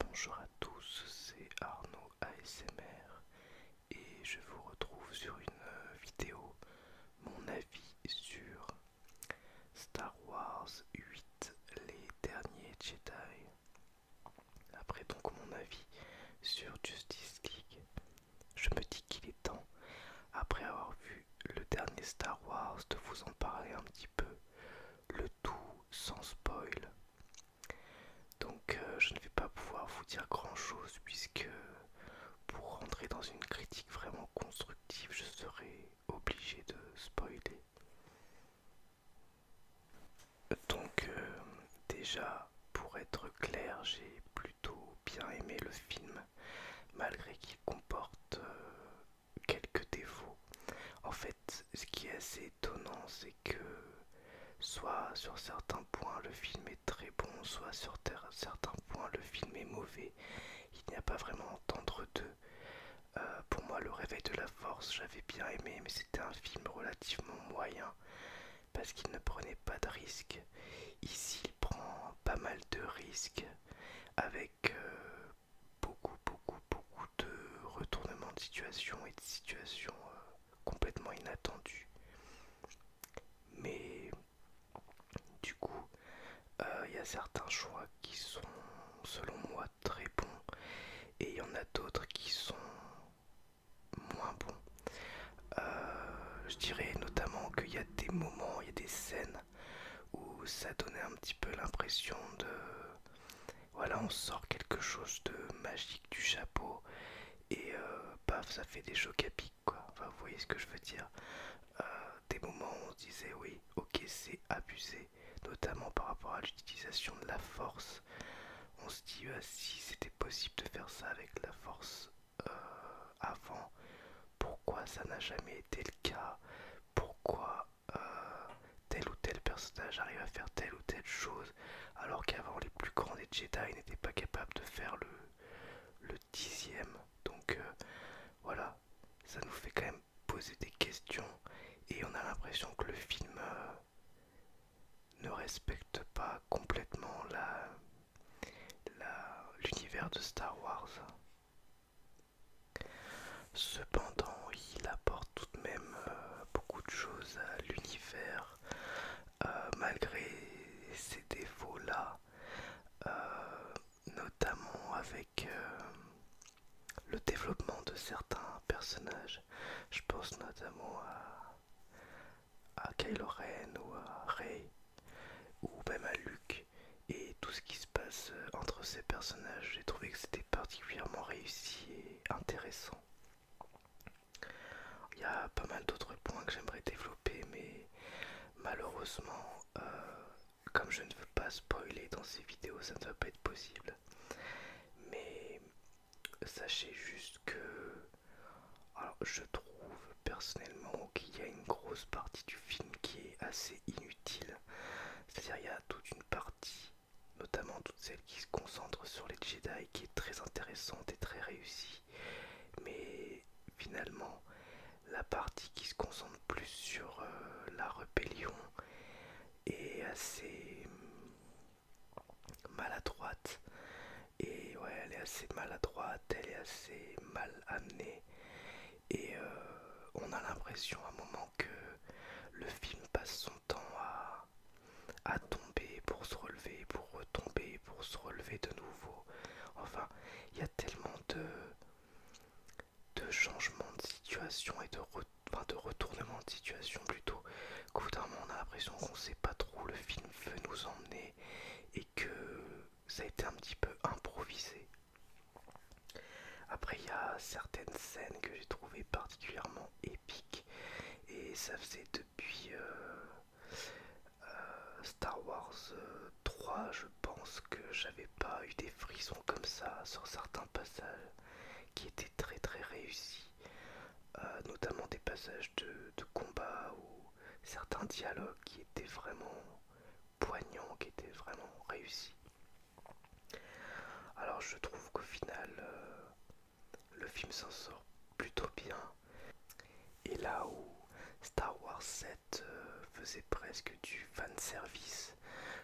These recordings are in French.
Bonjour à tous, c'est Arnaud ASMR et je vous retrouve sur une euh, vidéo, mon avis sur Star Wars 8, les derniers Jedi. Après donc mon avis sur Justice League, je me dis qu'il est temps, après avoir vu le dernier Star Wars, de vous en parler un petit peu, le tout sans spoil. Donc euh, je ne vais pas pouvoir vous dire grand-chose puisque pour rentrer dans une critique vraiment constructive, je serai obligé de spoiler. Donc euh, déjà, pour être clair, j'ai plutôt bien aimé le film, malgré qu'il comporte euh, quelques défauts. En fait, ce qui est assez étonnant, c'est que soit sur certains points le film est très bon, soit sur certains points le film est mauvais. Il n'y a pas vraiment entre deux. Euh, pour moi, Le Réveil de la Force, j'avais bien aimé, mais c'était un film moyen parce qu'il ne prenait pas de risques. Ici, il prend pas mal de risques avec euh, beaucoup, beaucoup, beaucoup de retournements de situation et de situations euh, complètement inattendues. Mais du coup, euh, il y a certains choix qui sont, selon moi, très bons et il y en a d'autres qui sont moins bon. Euh, je dirais notamment qu'il y a des moments, il y a des scènes où ça donnait un petit peu l'impression de... Voilà, on sort quelque chose de magique du chapeau et euh, paf, ça fait des chocs à quoi. Enfin, vous voyez ce que je veux dire. Euh, des moments où on se disait, oui, ok, c'est abusé, notamment par rapport à l'utilisation de la force on se dit euh, si c'était possible de faire ça avec la force euh, avant, pourquoi ça n'a jamais été le cas, pourquoi euh, tel ou tel personnage arrive à faire telle ou telle chose, alors qu'avant les plus grands des Jedi n'étaient pas capables de faire le, le dixième. Donc voilà, ça nous fait quand même poser des questions et on a l'impression que le film ne respecte pas complètement l'univers de Star Wars. Cependant, il apporte tout de même euh, beaucoup de choses à l'univers, euh, malgré ces défauts-là, euh, notamment avec le développement de certains personnages. Je pense notamment à, à Kylo Ren ou à Rey ou même à Luke et tout ce qui se passe euh, entre ces personnages. J'ai trouvé que c'était particulièrement réussi et intéressant. Il y a pas mal d'autres points que j'aimerais développer, mais malheureusement, euh, comme je ne veux pas spoiler dans ces vidéos, ça ne va pas être possible. Mais Sachez juste que je trouve personnellement qu'il y a une grosse partie du film qui est assez inutile. C'est-à-dire il y a toute une partie, notamment toute celle qui se concentre sur les Jedi, qui est très intéressante et très réussie. Mais finalement, la partie qui se concentre plus sur euh, la rébellion est assez maladroite. Et ouais, elle est assez maladroite, elle est assez mal amenée. Et euh, on a l'impression à un moment que le film passe son temps à, à tomber pour se relever, pour retomber, pour se relever de nouveau. Enfin, il y a tellement de, de changements de situation et de retour enfin de retournement de situation plutôt qu'au bout d'un moment on a l'impression qu'on sait pas trop où le film veut nous emmener et que ça a été un petit peu improvisé. Après il y a certaines scènes que j'ai trouvées particulièrement épiques et ça faisait depuis euh, euh, Star Wars 3 euh, je pense que j'avais pas eu des frissons comme ça sur certains passages qui était très très réussi, euh, notamment des passages de, de combat ou certains dialogues qui étaient vraiment poignants, qui étaient vraiment réussis. Alors je trouve qu'au final, euh, le film s'en sort plutôt bien. Et là où Star Wars 7 euh, faisait presque du fan service,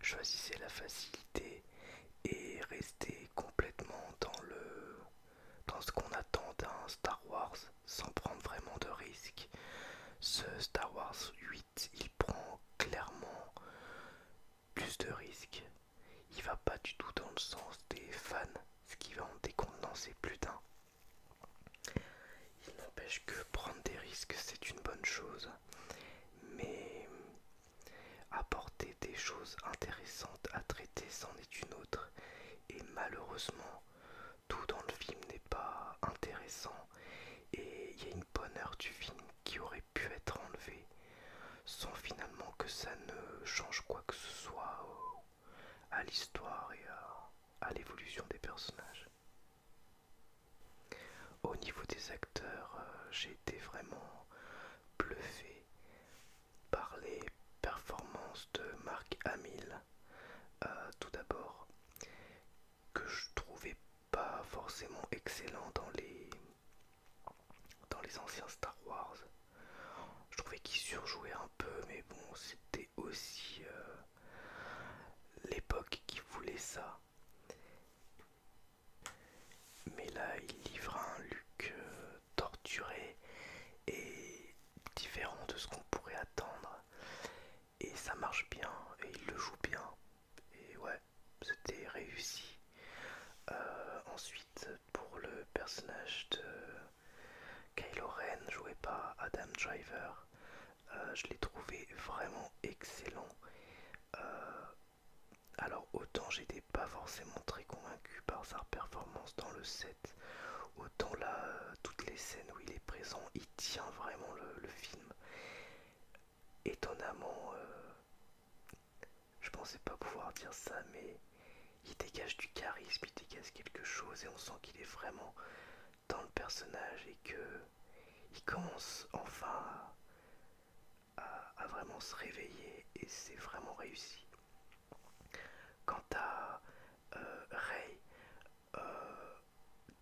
choisissait la facilité et rester complètement dans le dans ce qu'on attend d'un Star Wars sans prendre vraiment de risques. Ce Star Wars 8, il prend clairement plus de risques. Il va pas du tout dans le sens des fans, ce qui va en décontenancer plus d'un. Il n'empêche que prendre des risques, c'est une bonne chose. Mais Apporter des choses intéressantes à traiter, c'en est une autre. Et malheureusement, tout dans le film n'est pas intéressant. Et il y a une bonne heure du film qui aurait pu être enlevée sans finalement que ça ne change quoi que ce soit à l'histoire et à, l'évolution des personnages. Au niveau des acteurs, euh, j'ai été vraiment bluffé par les performances de Mark Hamill, euh, tout d'abord, que je trouvais pas forcément excellent dans les, dans les anciens Star Wars. Je trouvais qu'il surjouait un peu, mais bon, c'était aussi euh, l'époque qui voulait ça. Mais là, il livre un look euh, torturé et différent de ce qu'on pourrait attendre. Et ça marche bien, et il le joue bien. Et ouais, c'était réussi. Euh, ensuite, pour le personnage de Kylo Ren, joué par Adam Driver, euh, je l'ai trouvé vraiment excellent. Alors autant j'étais pas forcément très convaincu par sa performance dans le set, autant là, euh, toutes les scènes où il est présent, il tient vraiment le, film. Étonnamment, euh, je pensais pas pouvoir dire ça, mais il dégage du charisme, il dégage quelque chose et on sent qu'il est vraiment dans le personnage et que il commence enfin à, vraiment se réveiller et c'est vraiment réussi. Quant à euh, Ray, euh,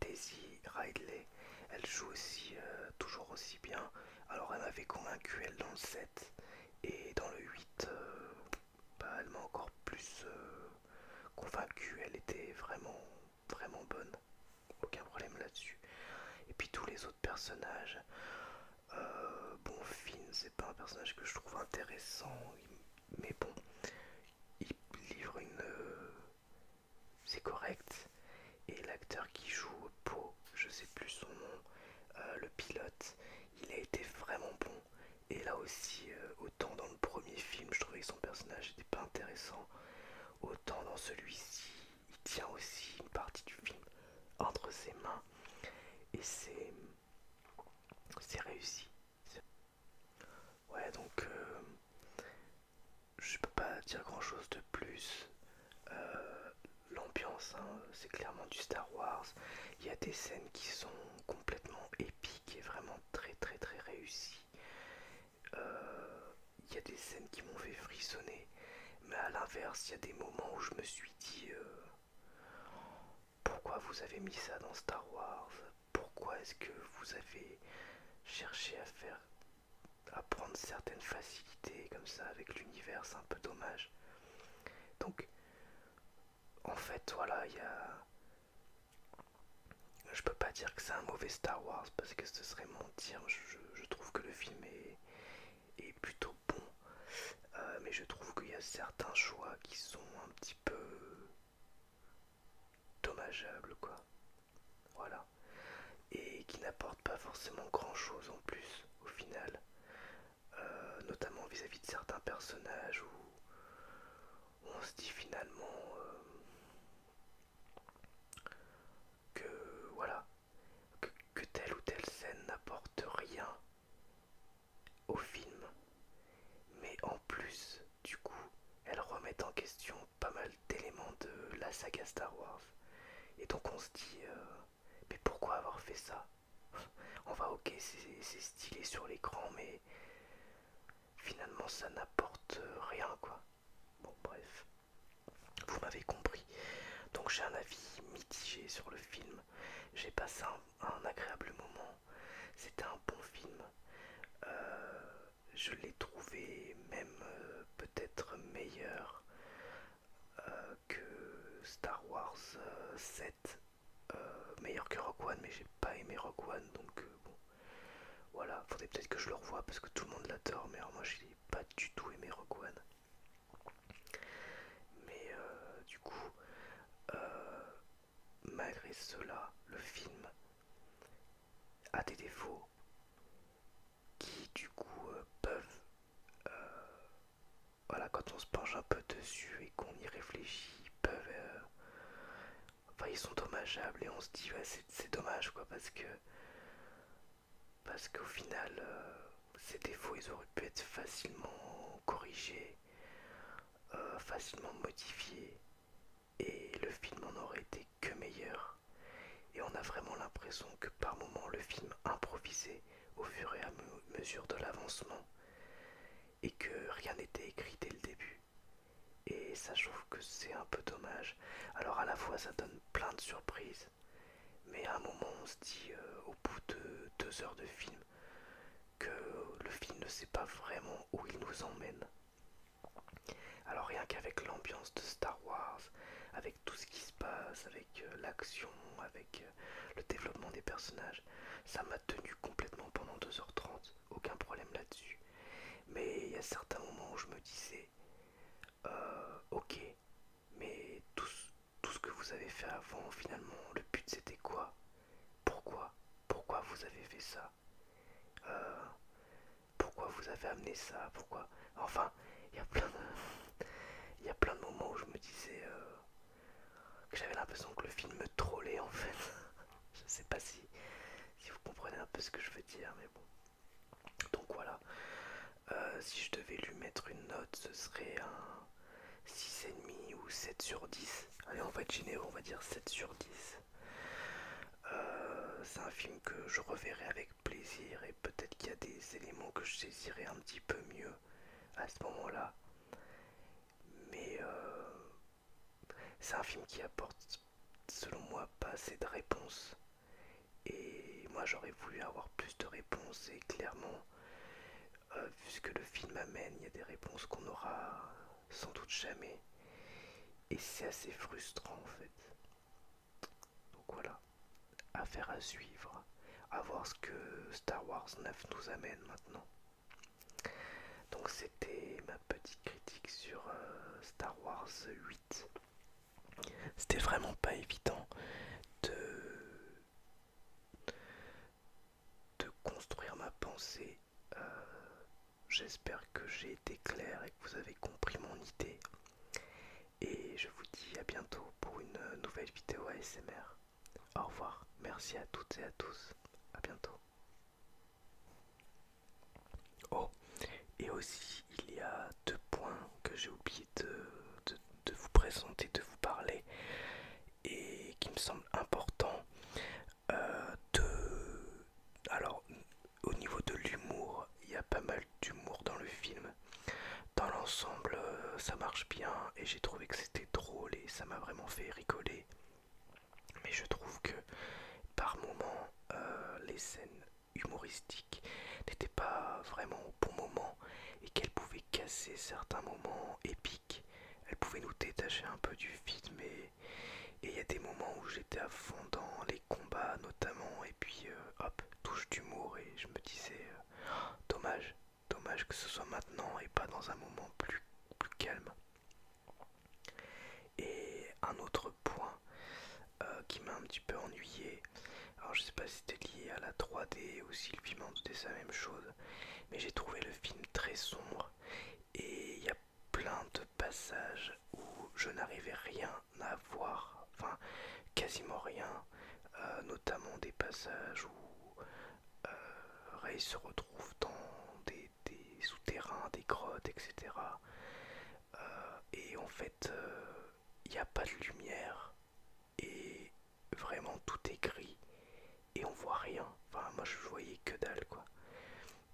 Daisy Ridley, elle joue aussi euh, toujours aussi bien. Alors elle m'avait convaincu elle dans le 7 et dans le 8, bah, elle m'a encore plus convaincue. Elle était vraiment vraiment bonne aucun problème là-dessus. Et puis tous les autres personnages, euh, bon, Finn, c'est pas un personnage que je trouve intéressant, mais bon, il livre une. Euh, c'est correct. Et l'acteur qui joue Po, je sais plus son nom, euh, le pilote, il a été vraiment bon. Et là aussi, autant dans le premier film, je trouvais que son personnage n'était pas intéressant, autant dans celui-ci, il tient aussi une partie du film entre ses mains et c'est c'est réussi ouais donc euh, je peux pas dire grand chose de plus euh, l'ambiance hein, c'est clairement du Star Wars il y a des scènes qui sont complètement épiques et vraiment très très très réussies il euh, y a des scènes qui m'ont fait frissonner, mais à l'inverse, il y a des moments où je me suis dit euh, pourquoi vous avez mis ça dans Star Wars Pourquoi est-ce que vous avez cherché à faire à prendre certaines facilités comme ça avec l'univers C'est un peu dommage. Donc, en fait, voilà, il y a. Je peux pas dire que c'est un mauvais Star Wars parce que ce serait mentir. Je, je, trouve que le film est, est plutôt bon, euh, mais je trouve qu'il y a certains choix qui sont un petit peu dommageables, quoi. Voilà. Et qui n'apportent pas forcément grand-chose en plus, au final. Euh, notamment vis-à-vis de certains personnages où, on se dit finalement... Euh, que voilà, que, telle ou telle scène n'apporte rien au film, mais en plus, du coup, elle remet en question pas mal d'éléments de la saga Star Wars. Et donc on se dit, euh, mais pourquoi avoir fait ça On va, ok, c'est stylé sur l'écran, mais finalement ça n'apporte rien, quoi. Bon, bref. Vous m'avez compris. Donc j'ai un avis mitigé sur le film. J'ai passé un, agréable moment. C'était un bon film. Euh, je l'ai trouvé même euh, peut-être meilleur euh, que Star Wars 7. meilleur que Rogue One, mais j'ai pas aimé Rogue One, donc bon. Voilà, faudrait peut-être que je le revoie parce que tout le monde l'adore, mais alors moi j'ai pas du tout aimé Rogue Mais euh, du coup, euh, malgré cela, le film a des défauts qui du coup euh, peuvent... voilà, quand on se penche un peu dessus et qu'on y réfléchit, peuvent... enfin, ils sont dommageables et on se dit, ouais, c'est dommage, quoi, parce que parce qu'au final, euh, ces défauts, ils auraient pu être facilement corrigés, euh, facilement modifiés, et le film en aurait été que meilleur. Et on a vraiment l'impression que par moments, le film improvisait au fur et à mesure de l'avancement, et que rien n'était écrit dès le début. Et ça, que c'est un peu dommage. Alors à la fois ça donne plein de surprises, mais à un moment on se dit euh, au bout de deux heures de film que le film ne sait pas vraiment où il nous emmène. Alors rien qu'avec l'ambiance de Star Wars, avec tout ce qui se passe, avec euh, l'action, avec euh, le développement des personnages, ça m'a tenu complètement pendant 2h30, aucun problème là-dessus. Mais il y a certains moments où je me disais, euh, ok, mais tout, ce que vous avez fait avant, finalement, le but c'était quoi Pourquoi Pourquoi vous avez fait ça euh, Pourquoi vous avez amené ça Pourquoi Enfin, il y a plein de... moments où je me disais euh, que j'avais l'impression que le film me trollait en fait. je sais pas si, si vous comprenez un peu ce que je veux dire, mais bon. Donc voilà, euh, si je devais lui mettre une note, ce serait un 6,5 ou 7 sur 10. Allez, on va être généreux, on va dire 7 sur 10. Euh, c'est un film que je reverrai avec plaisir et peut-être qu'il y a des éléments que je saisirai un petit peu mieux à ce moment-là. Mais euh, c'est un film qui apporte selon moi pas assez de réponses et moi j'aurais voulu avoir plus de réponses et clairement euh, vu ce que le film amène il y a des réponses qu'on aura sans doute jamais et c'est assez frustrant en fait donc voilà affaire à suivre à voir ce que Star Wars 9 nous amène maintenant donc c'était ma petite critique sur euh, Star Wars 8 c'était vraiment pas évident de, construire ma pensée. Euh, j'espère que j'ai été clair et que vous avez compris mon idée. Et je vous dis à bientôt pour une nouvelle vidéo ASMR. Au revoir, merci à toutes et à tous, à bientôt. Oh, et aussi il y a deux points que j'ai oublié de, vous présenter, de vous parler, et qui me semblent importants. Euh, de... Alors, au niveau de l'humour, il y a pas mal d'humour dans le film. Dans l'ensemble, euh, ça marche bien et j'ai trouvé que c'était drôle et ça m'a vraiment fait rigoler. Mais je trouve que par moments, euh, les scènes humoristique n'était pas vraiment au bon moment et qu'elle pouvait casser certains moments épiques. Elle pouvait nous détacher un peu du film et il y a des moments où j'étais à fond dans les combats notamment et puis euh, hop, touche d'humour et je me disais euh, dommage, dommage que ce soit maintenant et pas dans un moment plus, plus calme. Et un autre point euh, qui m'a un petit peu ennuyé, alors je sais pas si c'était lié à la 3D ou si le film en doutait la même chose, mais j'ai trouvé le film très sombre et il y a plein de passages où je n'arrivais rien à voir, enfin quasiment rien, euh, notamment des passages où euh, Ray se retrouve dans des des, souterrains, des grottes, etc. Euh, et en fait, il euh, n'y a pas de lumière et vraiment tout est gris et on voit rien. Enfin, moi je voyais que dalle quoi.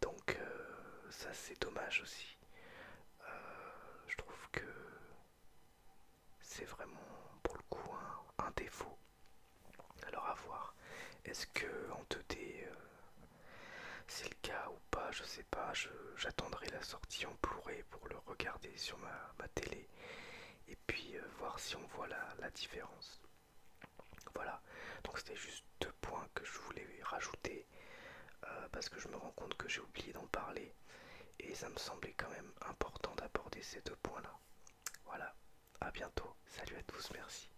Donc, euh, ça c'est dommage aussi. je trouve que c'est vraiment pour le coup un, défaut. Alors à voir. Est-ce que en 2D c'est le cas ou pas, je sais pas. J'attendrai la sortie en blu pour le regarder sur ma, télé et puis euh, voir si on voit la, différence. Voilà, donc c'était juste deux points que je voulais rajouter euh, parce que je me rends compte que j'ai oublié d'en parler et ça me semblait quand même important d'aborder ces deux points là. Voilà, à bientôt, salut à tous, merci.